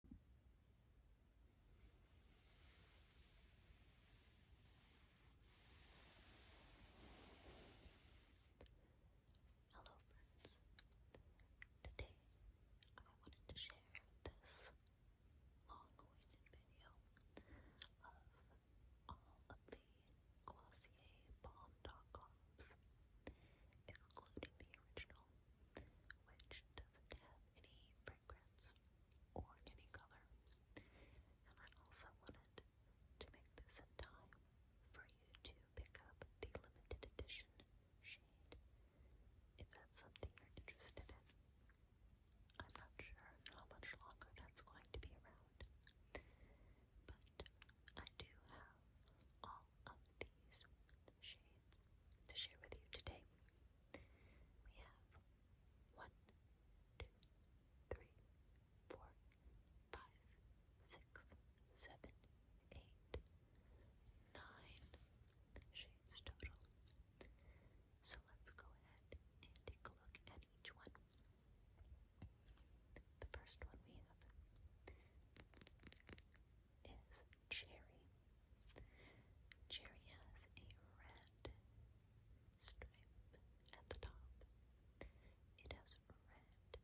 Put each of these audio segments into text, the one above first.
Hello friends. Today I wanted to share this long-awaited video of all of the Glossier Bomb Dot Coms, including the original, which doesn't have any fragrance or any color. And I also wanted to make this in time for you to pick up the limited edition shade if that's something you're interested in. I'm not sure how much longer that's going to be around, but I do have all of these shades to share with you today. We have one, two, three, four, five, six, seven, eight, nine shades total. So let's go ahead and take a look at each one. The first one we have is Cherry. Cherry has a red stripe at the top. It has red text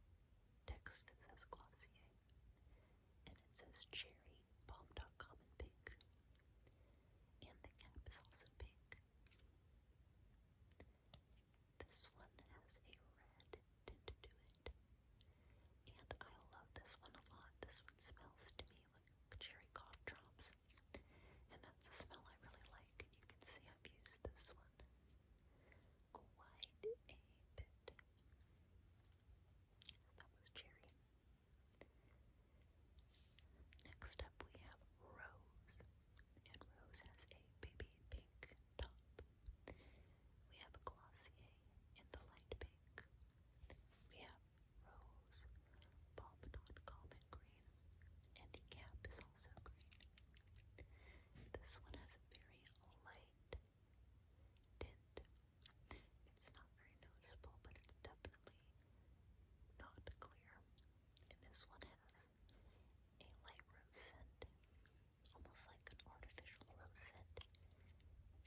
that says Glossier, and it says Cherry in pink, and the cap is also pink. This one has a red tend do it. And I love this one a lot. This one smells to me like cherry cough drops. And that's a smell I really like. And you can see I've used this one quite a bit. that was cherry. Next up we have Rose. And Rose has a baby pink top. We have Glossier in the light pink. We have Rose, Pompadour Common Green, and the cap is also green. This one has a very light tint. It's not very noticeable, but it's definitely not clear. And this one has a light rose scent almost like an artificial rosette,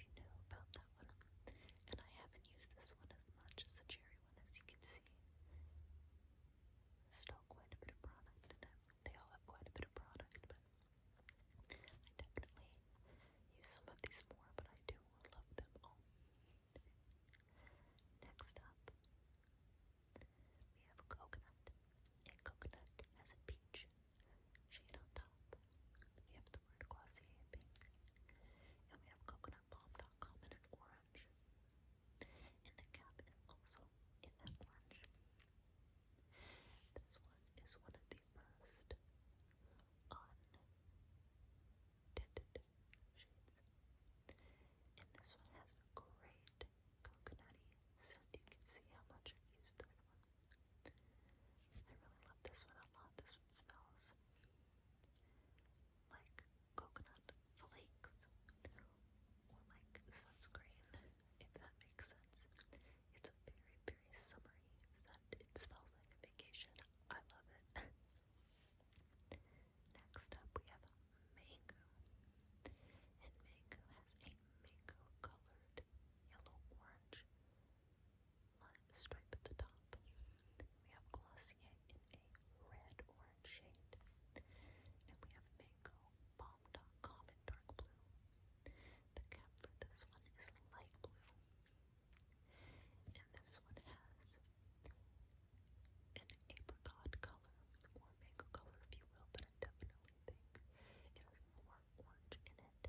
if you know about that one. And I haven't used this one as much as the cherry one, as you can see. Still quite a bit of product in it. They all have quite a bit of product, but I definitely use some of these more, but I do love them all. Next up, we have coconut. And coconut has a peach shade on top. We have the word Glossier pink. And we have coconutbalm.com in an orange. And the cap is also in that orange. This one is one of the most untinted shades. And this one has great coconutty, so you can see how much I used this one. I really love this one a lot. This one smells like coconut flakes or like sunscreen, if that makes sense. It's a very, very summery scent. It smells like vacation. I love it. Next up, we have mango, and mango has a mango colored yellow orange stripe at the top. We have Glossier in a red orange shade. And we have Mango Bomb.com in dark blue. The cap for this one is light blue. And this one has an apricot color, or mango color if you will, but definitely think it was more orange in it.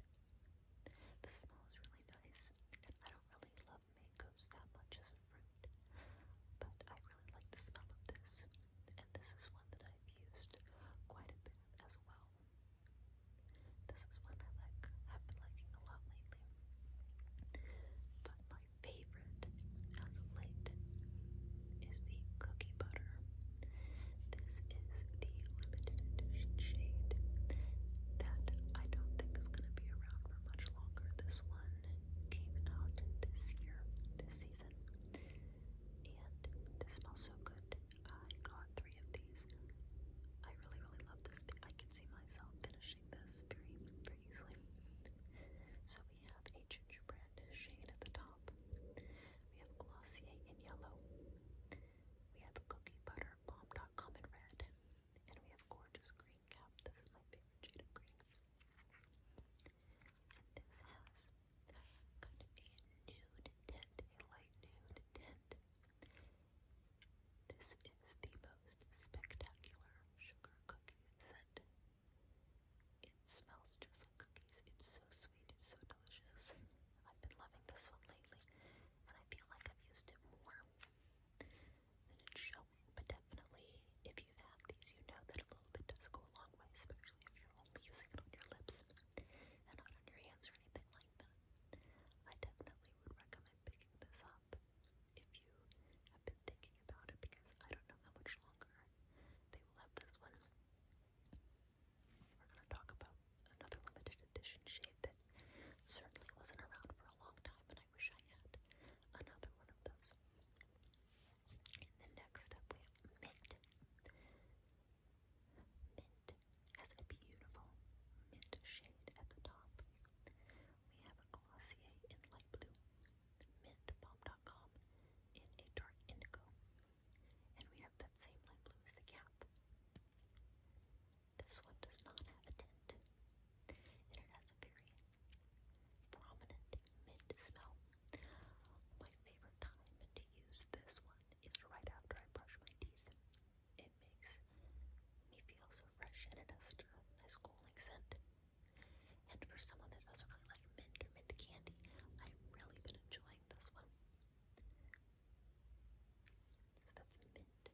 The smell is really nice, I don't really love mangoes that much as a fruit, but I really like the smell of this, and this is one that I've used quite a bit as well. This is one I like, have been liking a lot lately. But my favorite as of is the cookie butter. This is the limited edition shade that I don't think is going to be around for much longer. This one came out this year, this season, and this smells so good. I got three of these. I really, really love this. I can see myself finishing this very, very easily. So we have a gingerbread shade at the top. We have glossy in yellow. We have Cookie Butter bomb Bomb.com in red. And we have Gorgeous Green Cap. This is my favorite shade of green. this has kind of a nude tint, a light nude tint. This is the most spectacular sugar cookie scent it smells just like cookies. It's so sweet. It's so delicious. I've been loving this one lately, and I feel like I've used it more than it's showing. But definitely, if you've had these, you know that a little bit does go a long way, especially if you're only using it on your lips and not on your hands or anything like that. I definitely would recommend picking this up if you have been thinking about it, because I don't know how much longer they will have this one. We're going to talk about another limited edition shade that certainly wasn't around for a long time, and I wish I had another one of those. And then next up, we have mint. Mint has a beautiful mint shade at the top. We have a Glossier in light blue mintbomb.com in a dark indigo. And we have that same light blue as the cap. This one does not have a tint. And it has a very prominent mint smell. My favorite time to use this one is right after I brush my teeth. It makes me feel so fresh and it has a nice cooling scent. And for someone that also kind of like mint or mint candy, I've really been enjoying this one. So that's mint.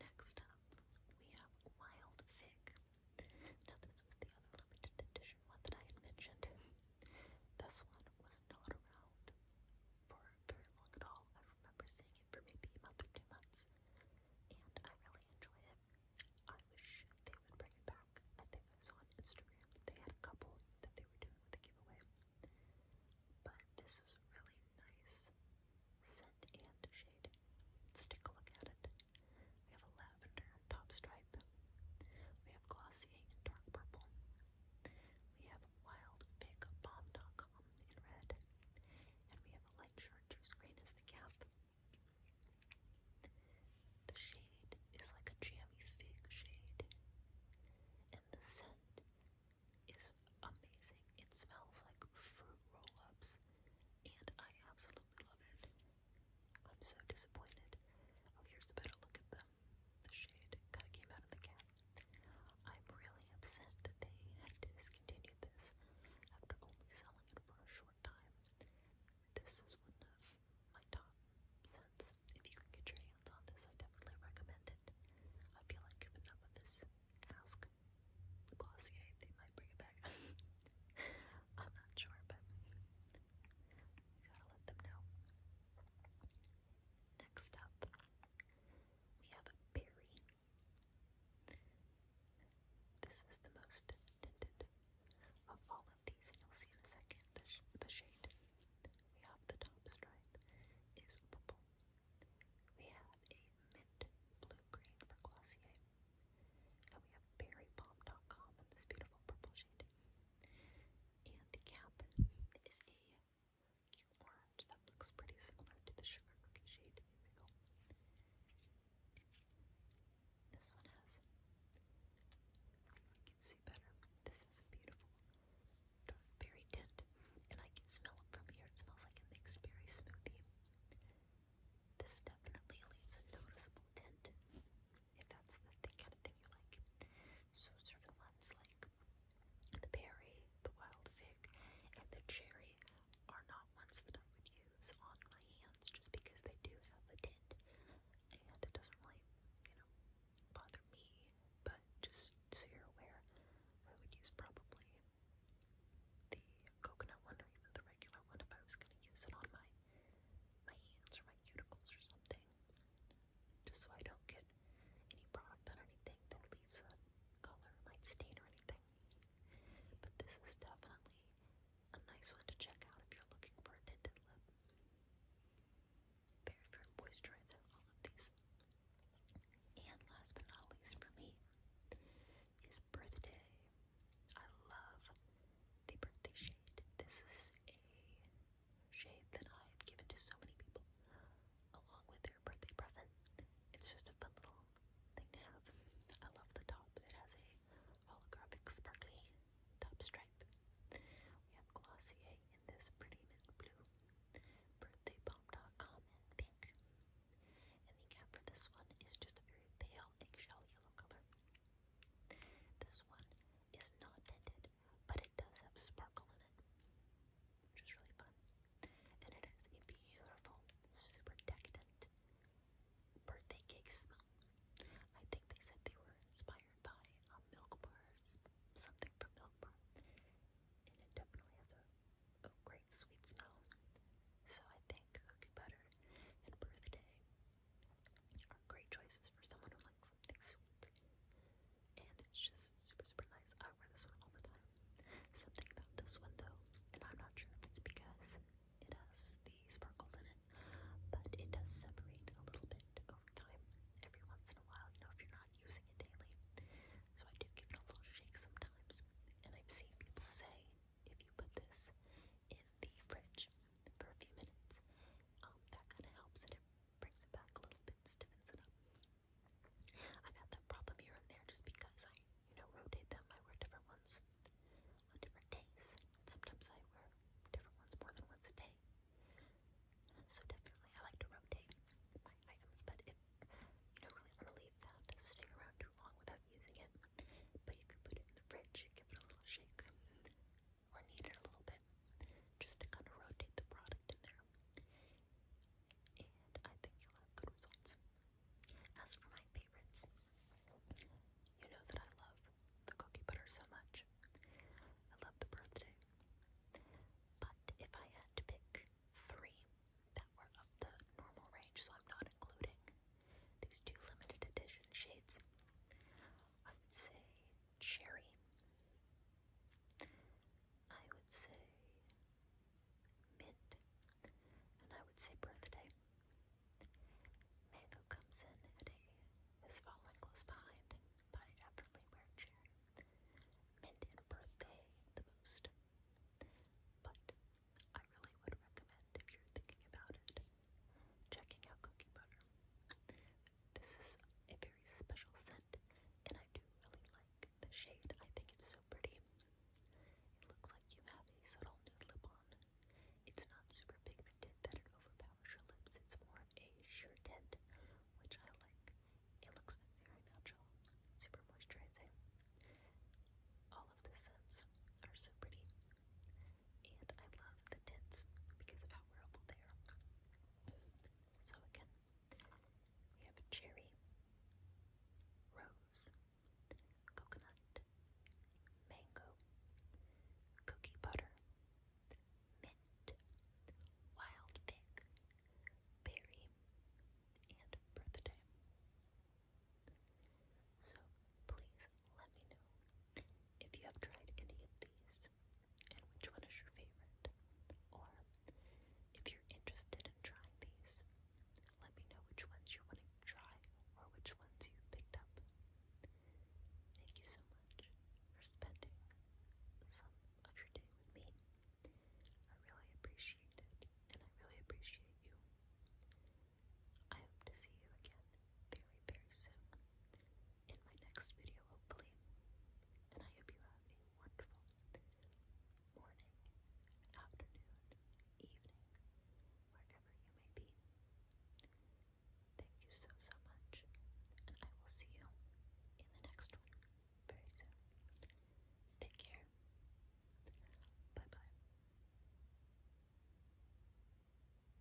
Next up, we have Wild Fig. Now this was the other limited edition one that I had mentioned. This one was not around for very long at all. I remember seeing it for maybe a month months, and I really enjoy it. I wish they would bring it back. I think I saw on Instagram they had a couple that they were doing with a giveaway. But this is really nice scent and shade. let a look at it. We have a lavender top stripe. We have glossy dark purple. We have wild pig bomb.com in red and we have a light chartreuse green as the cap. The shade is like a jammy fig shade, and the scent is amazing. It smells like fruit roll-ups, and I absolutely love it. I'm so disappointed. Oh, here's a better look at them. The shade kind of came out of the cap. I'm really upset that they had to discontinue this after only selling it for a short time. This is one of my top scents. If you can get your hands on this, I definitely recommend it. I feel like if enough of this ask Glossier, they might bring it back. I'm not sure, but you gotta let them know. Next up, we have a berry this is the most tinted of all of these, and you'll see in a second the, the shade we have the top stripe is purple. We have a mint blue green for Glossier, and we have berrypalm.com in this beautiful purple shade. And the cap is a cute orange that looks pretty similar to the sugar cookie shade. This one has, you can see better, this has a beautiful dark tint, and I can smell it from here. It smells like a mixed berry smoothie. This definitely leaves a noticeable tint, if that's the kind of thing you like. So sort of lens like the berry, the wild fig, and the cherry are not ones that I would use on my hands just because they do have a tint and it doesn't really, you know, bother me. But just so you're aware, I would use probably the coconut one or even the regular one if I was going to use it on my my hands or my cuticles or something. Just so I don't get but any product on anything that leaves a color might stain or anything. But this is definitely a nice one to check out if you're looking for a tinted lip. Very for moisturizer, all of these. And last but not least for me is birthday. I love the birthday shade. This is a shade that I have given to so many people along with your birthday present. It's just a fun little thing to have. I love the top. It has a holographic sparkly top stripe. We have glossy in this pretty mint blue, birthday pom birthdaypomp.com in pink. And the cap for this one is just a very pale eggshell yellow color. This one is not tinted, but it does have sparkle in it, which is really fun. And it has a beautiful, super decadent birthday cake smell. I think they said they were inspired by a milk bar, something from milk bar, and it definitely has a, great sweet smell. So I think cookie butter and birthday are great choices for someone who likes something sweet and it's just super, super nice. I wear this one all the time. Something about this one though, and I'm not sure if it's because it has these sparkles in it, but it does separate a little bit over time, every once in a while, you know, if you're not using it daily. So I do give it a little shake sometimes, and I've seen people say if you put this in the fridge for a few minutes, um, that kind of helps it, it brings it back a little bit, stiffens it up. I've had that problem here and there just because I, you know, rotate them. I wear different ones on different days. Sometimes I wear different ones more than once a day. So definitely I like to rotate my items, but if you do really want to leave that sitting around too long without using it, but you could put it in the fridge and give it a little shake or kneaded a little bit just to kind of rotate the product in there. And I think you'll have good results. As for my favorites, you know that I love the cookie butter so much. I love the birthday. But if I had to pick three that were of the normal range, so I'm not including these two limited edition shades, I would say cherry I would say mint, and I would say birthday. Mango comes in at a is falling close behind by effortlessly wearing chair. Mint and birthday the most. But I really would recommend if you're thinking about it, checking out cookie butter. This is a very special scent, and I do really like the shade. I think it's so pretty. It looks like you have a subtle nude lip on. It's not super pigmented that it overpowers your lips. It's more a sheer tint, which I like. It looks very natural, super moisturizing. All of the scents are so pretty, and I love the tints because of how wearable they are. So again, we have cherry, rose, coconut, mango, cookie butter, mint, wild fig, berry, and birthday. So please let me know if you have tried any of these, and which one is your favorite, or if you're interested in trying these, let me know which ones you're to try or which ones you picked up. Thank you so much for spending some of your day with me. I really appreciate it, and I really appreciate you. I hope to see you again very, very soon in my next video, hopefully. And I hope you have a wonderful morning, afternoon, evening, wherever you may be. Thank you so, so much. And I will see you in the next one very soon. Take care. Bye bye.